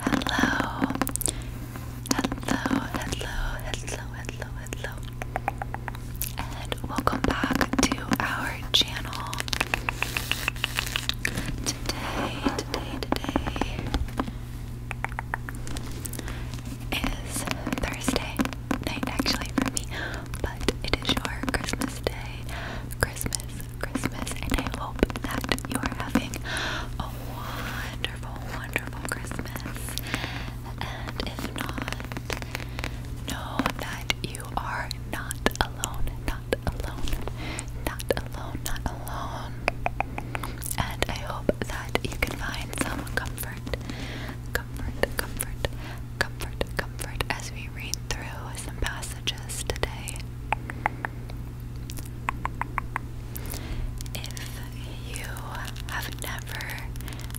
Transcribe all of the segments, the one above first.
Hello. Hello, hello, hello, hello, hello. And welcome back to our channel. Today, today, today is Thursday night actually for me, but it is your Christmas day. Christmas, Christmas, and I hope that you are having a wonderful, wonderful Christmas. And if not, know that you are not alone, not alone, not alone, not alone. And I hope that you can find some comfort, comfort, comfort, comfort, comfort as we read through some passages today. If you have never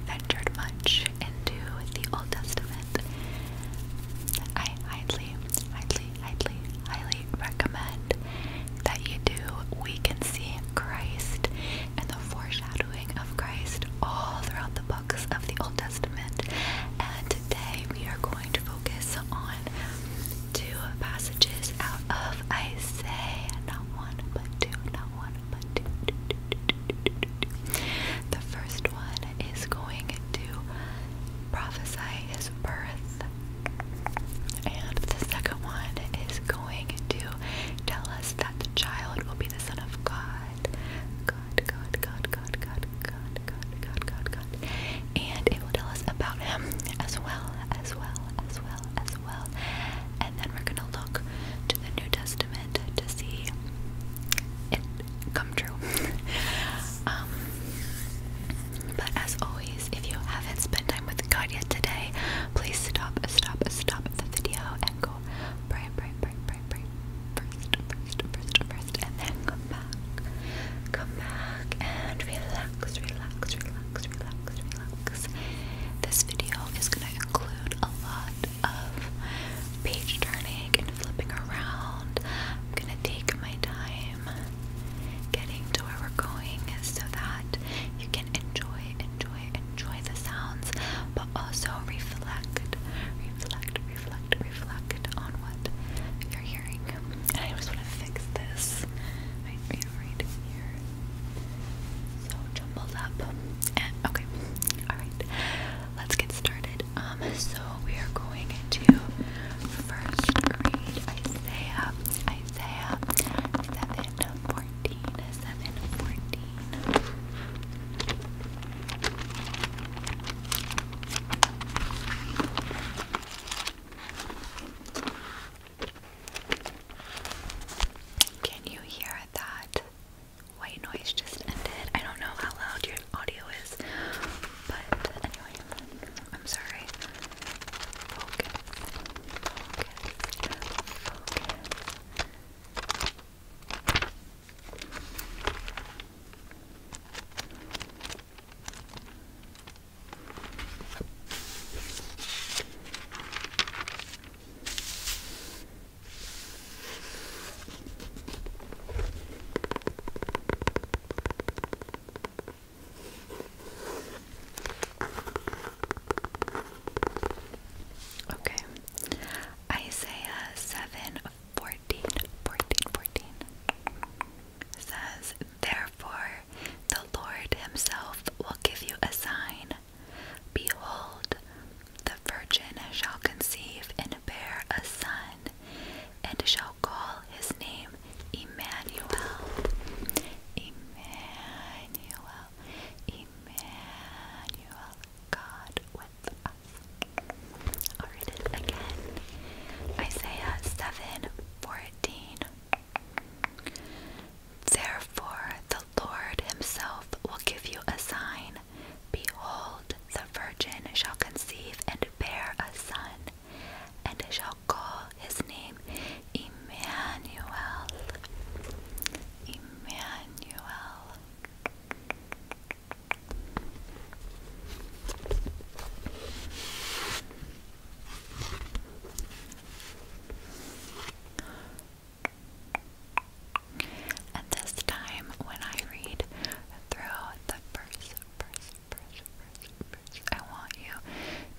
ventured much into the Old Testament, I highly, highly, highly, highly recommend that you do. We can see Christ and the foreshadowing of Christ all throughout the books of the Old Testament. And today we are going to focus on two passages out of Isaiah. Not one, but two. Not one, but two. two, two, The first one is going to prophesy his birth, and the second one is going to tell us that the child will be the Son of God. God, God, God, God, God, God, God, God, God, God, and it will tell us about him as well, as well, as well, as well. And then we're gonna look to the New Testament to see it come true. um, but as always, if you haven't spent time with God yet today, please stop, stop, stop the video and go pray, pray, pray, pray, pray, first, first, first, first, and then come back. Come back and relax, relax, relax, relax, relax. This video is gonna include a lot of page turning and flipping around. I'm gonna take my time getting to where we're going so that you can enjoy, enjoy, enjoy the sounds, but also reflect, reflect, reflect, reflect on what you're hearing. And I just want to fix this. Right, you here. So jumbled up. okay. Alright. Let's get started. Um, so we are going to first read Isaiah. Isaiah seven fourteen. Seven fourteen. Can you hear that? White noise just ended. I don't know how loud your audio is, but anyway, I'm sorry. Okay, Isaiah 7 14, 14, 14 says, Therefore the Lord himself will give you a sign. Behold, the virgin shall conceive and bear a son, and shall call his name Emmanuel. Emmanuel, Emmanuel, God again. Isaiah seven fourteen. Therefore, the Lord Himself will give you a sign. Behold, the virgin shall conceive and bear a son, and shall call his name Emmanuel. Emmanuel. And this time, when I read through the first, first, first, first, first, I want you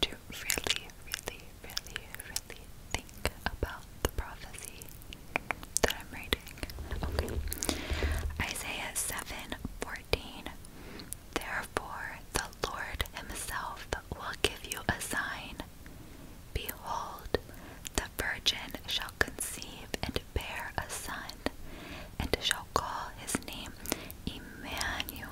to really, really, really, really think about the prophecy Isaiah seven fourteen. Therefore, the Lord Himself will give you a sign. Behold, the virgin shall conceive and bear a son, and shall call his name Emmanuel.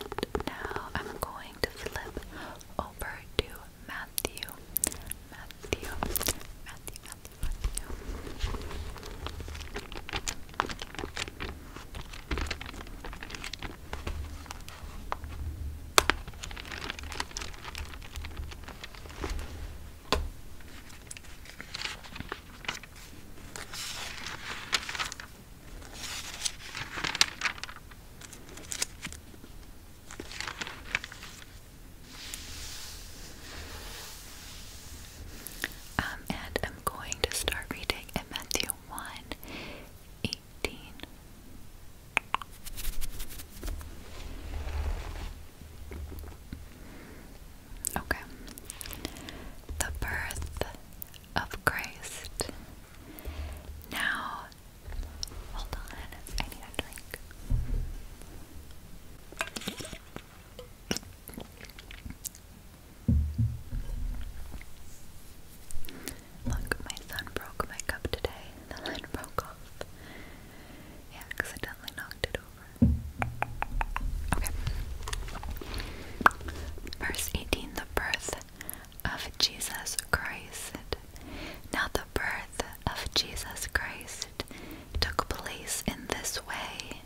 And now I'm going to flip over to Matthew. Matthew. Um, and I'm going to start reading in Matthew 1 Okay. The birth of Christ. Now, hold on, I need a drink. Look, my son broke my cup today. The lid broke off. He accidentally knocked it over. Verse 18 The birth of Jesus Christ. Now, the birth of Jesus Christ took place in this way.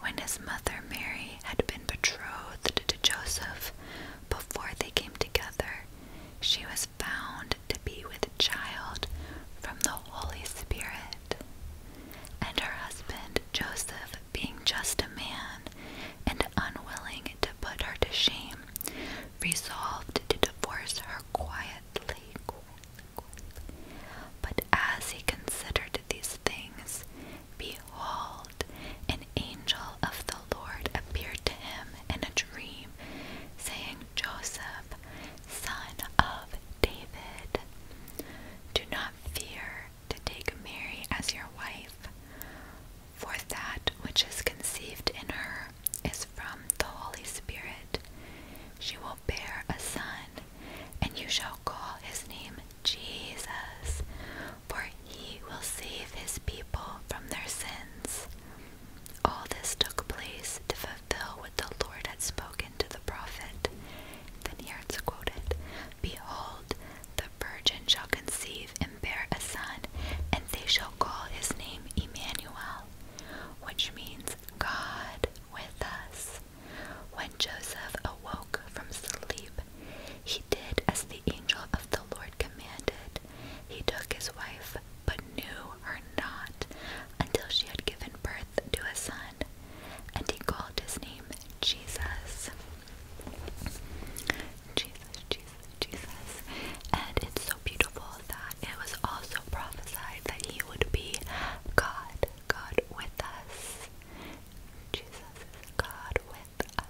When his mother Mary had been betrothed to Joseph, before they came together, she was found to be with child from the Holy Spirit. And her husband Joseph, being just a man and unwilling to put her to shame, resolved to divorce her quietly. But as he considered these things, behold, an angel of the Lord appeared to him in a dream, saying, Joseph, son of David, do not fear to take Mary as your wife, for that which is conceived in her is from the Holy Spirit. She will bear a son, and you shall call his name Jesus, for he will save his people from their sins. All this took place to fulfill what the Lord had spoken to the prophet. Then here it's quoted Behold, the virgin shall conceive and bear a son, and they shall call his name Emmanuel, which means God with us. When Joseph awoke from sleep, he did as the angel of the Lord commanded. He took his wife, but knew her not until she had given birth to a son and he called his name Jesus. Jesus, Jesus, Jesus. And it's so beautiful that it was also prophesied that he would be God, God with us. Jesus is God with us.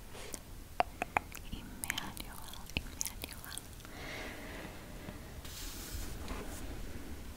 Emmanuel, Emmanuel.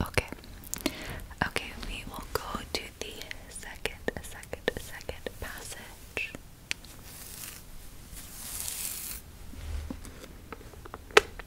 Okay. Okay, we will go to the second, second, second passage.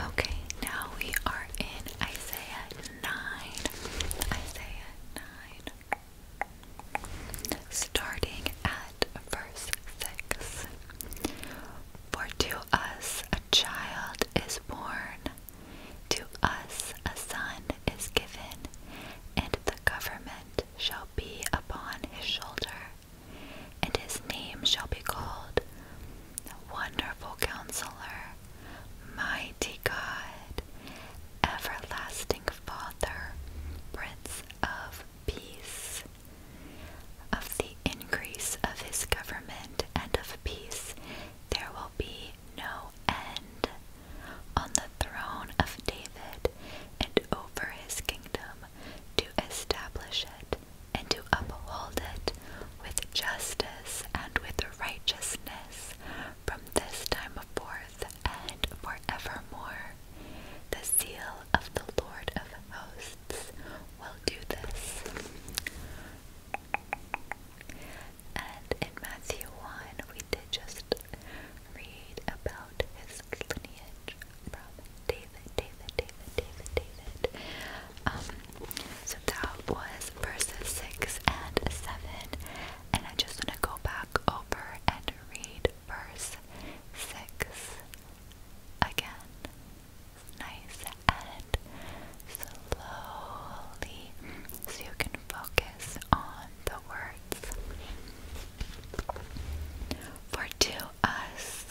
Okay, now we are in Isaiah 9. Isaiah 9. Starting at verse 6. For to us a child is born, to us a son is given, and the government shall be upon his shoulder, and his name shall be called Wonderful Counselor, Mighty God, Everlasting Father, Prince of Peace. Of the increase of his government and of peace there be no end on the throne of David and over his kingdom to establish it and to uphold it with justice and with righteousness from this time forth and forevermore. The seal of the Lord of hosts will do this. And in Matthew 1, we did just read about his lineage from David, David, David, David, David. Um, so that was verses 6 and 7. And I just want to go back over and read verse 6 again nice and slowly so you can focus on the words. For to us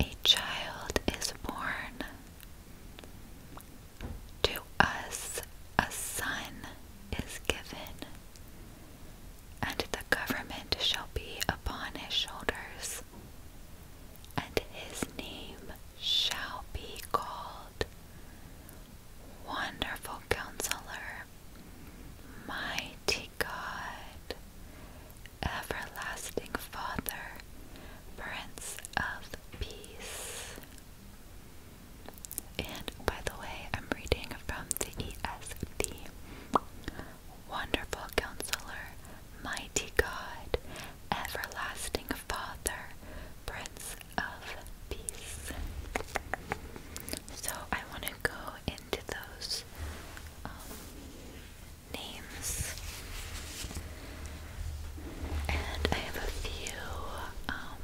a child is born, to us a son is given. And the government shall be upon his shoulders, and his name shall be called Wonderful Counselor, Mighty God, Everlasting Father, Prince of Peace. And by the way, I'm reading from the ESV. Wonderful Counselor, Mighty God, Everlasting Father, Prince of Peace. So I want to go into those um, names, and I have a few, um,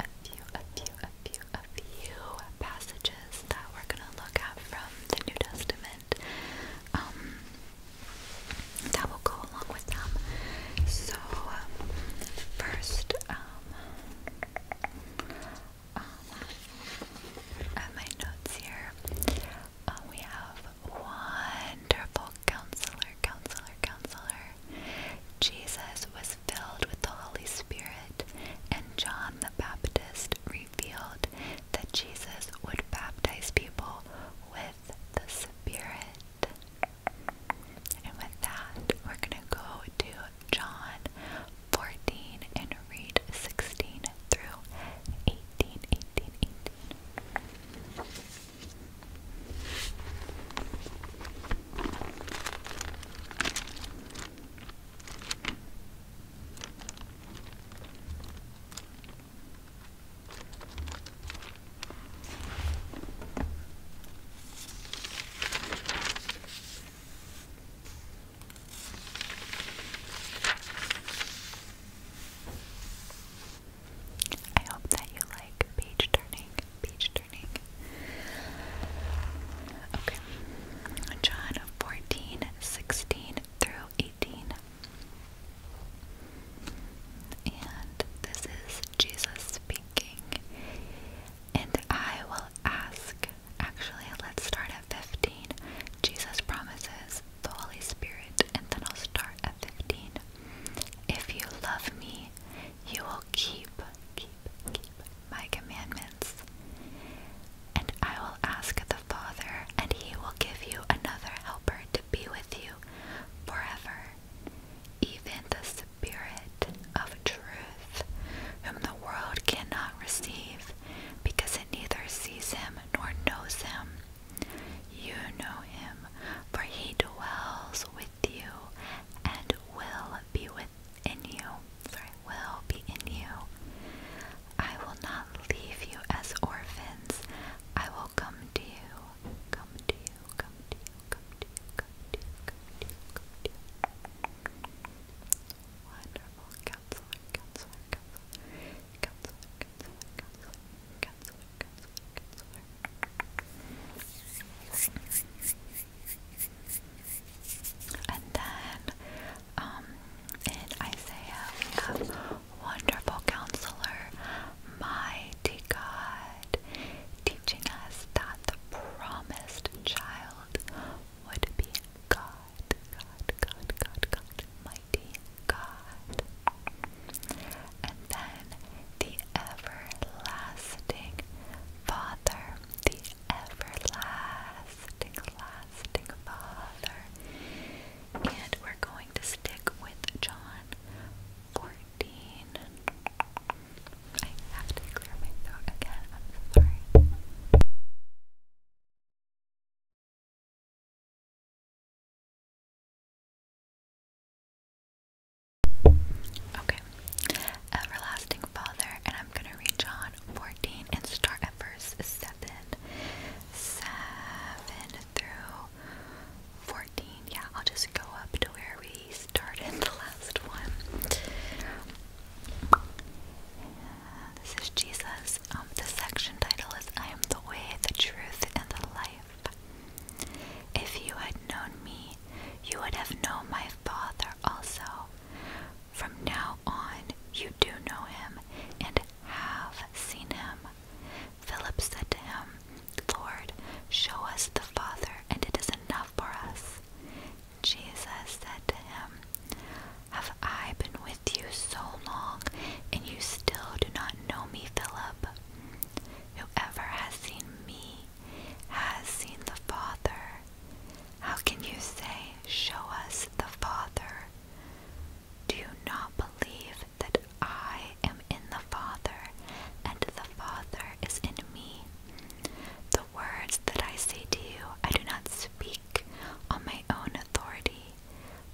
a few, a few, a few, a few passages that we're gonna look at from the New Testament. Um, that will go along with them. So, um, first, at um, um, my notes here, we have wonderful counselor, counselor, counselor. Jesus was filled with the Holy Spirit, and John the Baptist revealed that Jesus would baptize people with the Spirit. And with that, we're going to go to John 14 and read 16 through 18. 18. I hope that you like page turning, page turning. Okay. John 14, through 18. And this is Jesus speaking. And I will ask. Actually, let's start at 15. Jesus promises the Holy Spirit, and then I'll start at 15. If you love me, you will keep, keep, keep my commandments. And I will ask the. Father, and he will give you another helper to be with you forever, even the Spirit of truth, whom the world cannot receive, because it neither sees him nor knows him. You know him, for he dwells with you and will be within you. will be in you. I will not leave you as orphans. I will come to you. Come to you, come to you, come to you, come to you, come to you, Wonderful counselor, counselor, counselor, counselor, counselor, counselor, counselor, counselor. And then um, in Isaiah, um, we have wonderful counselor, mighty God, teaching us that the promised child would be God, God, God, God, God, mighty God. And then the everlasting Father, the everlasting lasting, Father. And we're going to stick with John 14. I have to clear my throat again, I'm sorry. Okay, Everlasting Father, and I'm going to read John 14 and start at verse 7 seven, seven through fourteen. Yeah, I'll just go up to where we started last one. this is Jesus. Um, the section title is I am the way, the truth, and the life. If you had known me, you would have known my Father also. From now on, you do know him and have seen him. Philip said to him, Lord, show us the Father, and it is enough for us. Jesus said to him, Have I been with you so long, and you still do not know me, Philip? Whoever has seen me has seen the Father. How can you say, Show us the Father? Do you not believe that I am in the Father, and the Father is in me? The words that I say to you, I do not speak on my own authority,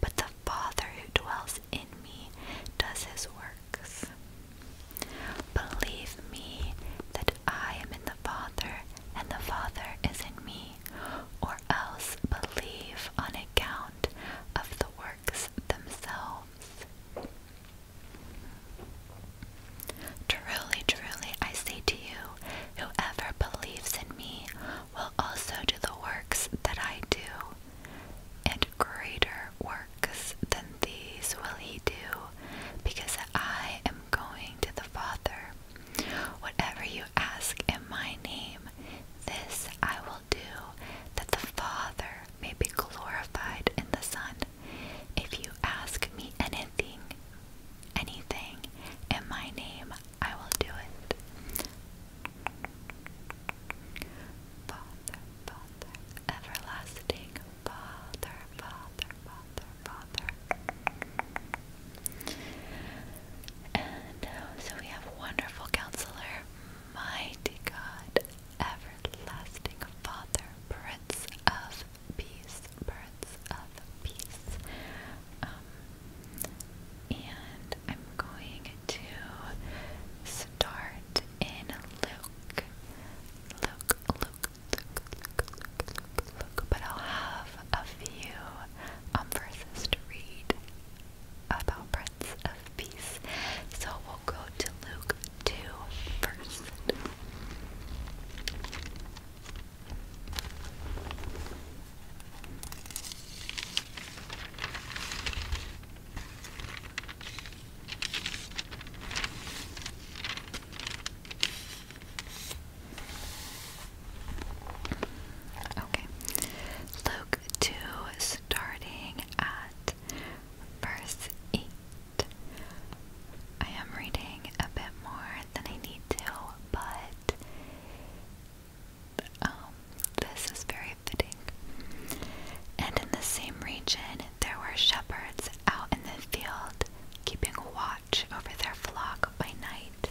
but the Father who dwells in me does his works. Believe me that I am in the Father, and the Father is in me or else believe on account of the works themselves. Truly, truly, I say to you, whoever believes in me will also do the works that I do, and greater works than these will he do, because I am going to the Father. Whatever you ask in my name, this I will do, that the Father may be glorified in the Son. If you ask me anything, anything in my name, I will do it. Father, Father, everlasting Father, Father, Father, Father. And uh, so we have wonderful counselor, mighty God, everlasting Father, Prince of Peace, Prince of Peace. Um, and I'm going to start in Luke. Luke, Luke, Luke, Luke, Luke, look, but I'll have a few um, verses to read about Prince of Peace. So we'll go to Luke 2 Okay. Luke 2, starting at verse 8. I am reading a bit more than I need to, but um, this is very fitting. And in the same region, there were shepherds out in the field, keeping watch over their flock by night,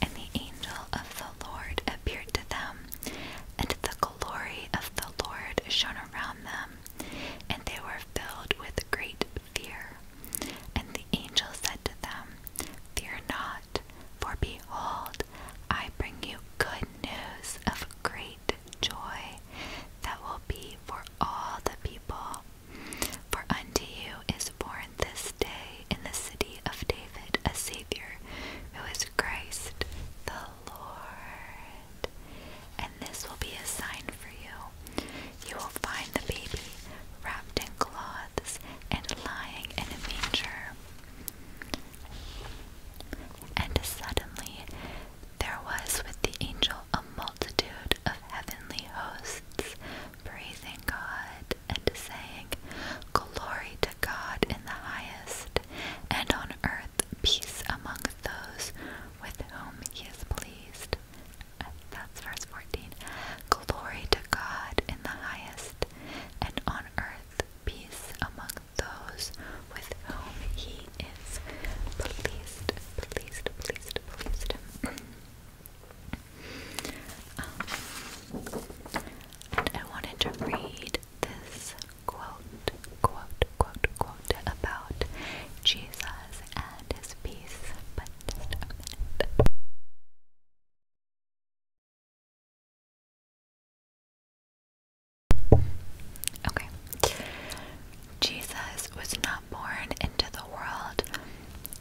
and the angel of the Lord appeared to them, and the glory of the Lord shone around them, and they were filled with great fear. And the angel said to them, Fear not, for behold, I bring you good news of great joy that will be for all the people. For unto you is born this day in the city of David a Savior, who is Christ the Lord. And this will be a sign for you. You will find the baby wrapped in cloths and lying in a manger. And suddenly there was with the angel a multitude multitude of heavenly hosts praising God and saying, Glory to God in the highest, and on earth peace among those with whom he is pleased. That's verse 14. Glory to God in the highest, and on earth peace among those with whom he is pleased. Pleased, pleased, pleased. Um, I wanted to read this quote, quote, quote, quote about Jesus and his peace, but just a minute. Okay, Jesus was not born into the world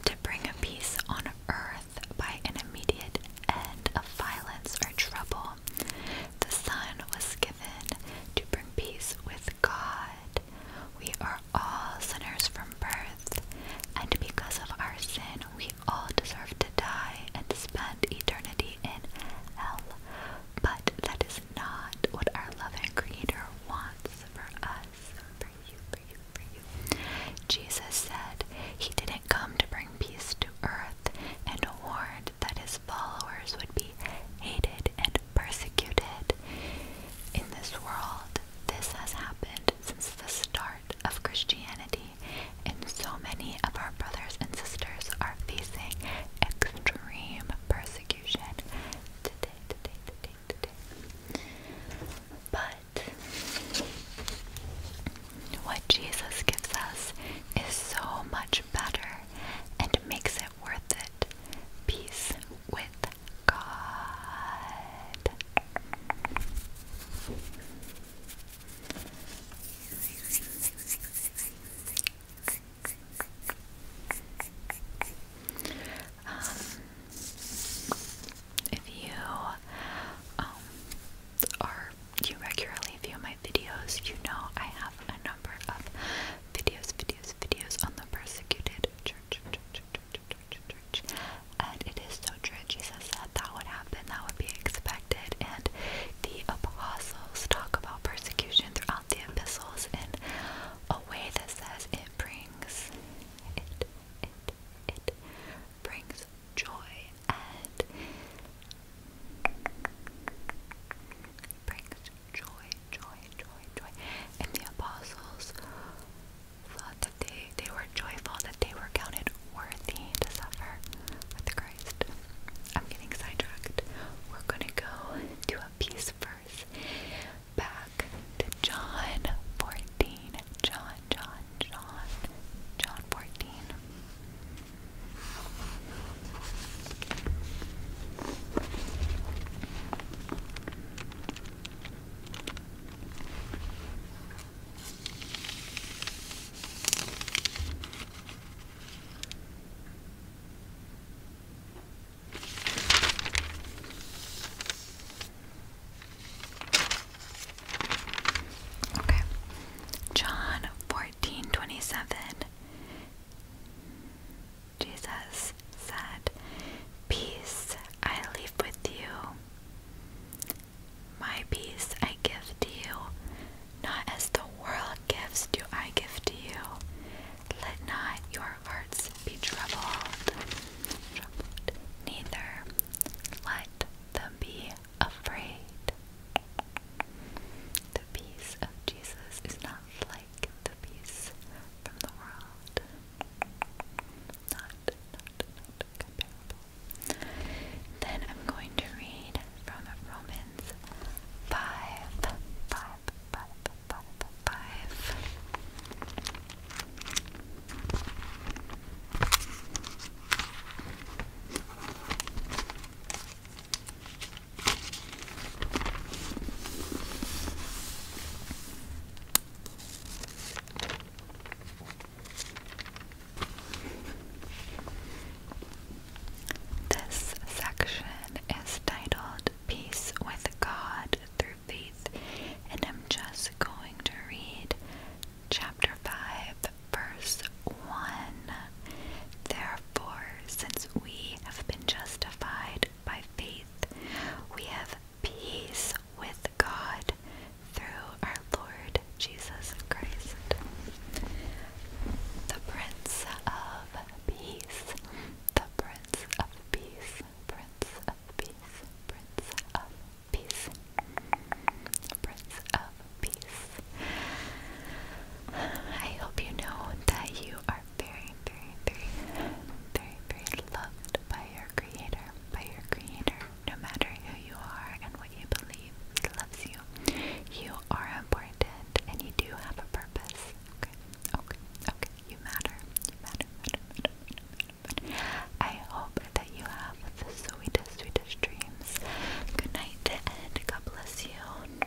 to bring peace on earth by an immediate end of violence or trouble. The Son was given to bring peace with God. We are all sinners from birth, and because of our sin, we all deserve to die and spend eternity in hell. But that is not what our loving Creator wants for us. Jesus said he didn't come to bring peace to earth and warned that his followers would be hated and persecuted. In this world, this has happened since the start of Christianity, and so many of our brothers and sisters are facing extreme persecution today. But what Jesus gives us is so much better and makes it worth it. Peace with God. Um, if you um, are you regularly view my videos, you know I have a number of videos, videos, videos on the persecuted and it is so true. Jesus said that would happen, that would be expected, and the apostles talk about persecution throughout the epistles in a way that says brings it it it brings joy and brings joy, joy, joy, joy. And the apostles thought that they, they were joyful, that they were counted worthy to suffer with Christ. I'm getting sidetracked. We're gonna go to a piece from years back John 14. John, John, John, John 14. John 14:27 Jesus said, "Peace I leave with you. My peace I give to you, not as the world gifts do I give to you? Let not your hearts be troubled, neither let them be afraid. The peace of Jesus is not like the peace from the world. Not, not, not comparable. Then I'm going to read from Romans 5, five. This section is titled peace with God through faith, and I'm just going to read chapter 5, verse 1. Therefore, since we have been justified by faith, we have peace with God through our Lord Jesus Christ. The Prince of Peace the Prince of Peace, Prince of Peace, Prince of Peace, Prince of Peace. I hope you know that you are very, very, very, very, very loved by your Creator, by your Creator, no matter who you are and what you believe. He loves you. You are important and you do have a purpose. Okay. Okay, okay, you matter. You matter, I hope that you have the sweetest, sweetest dreams. Good night and God bless you.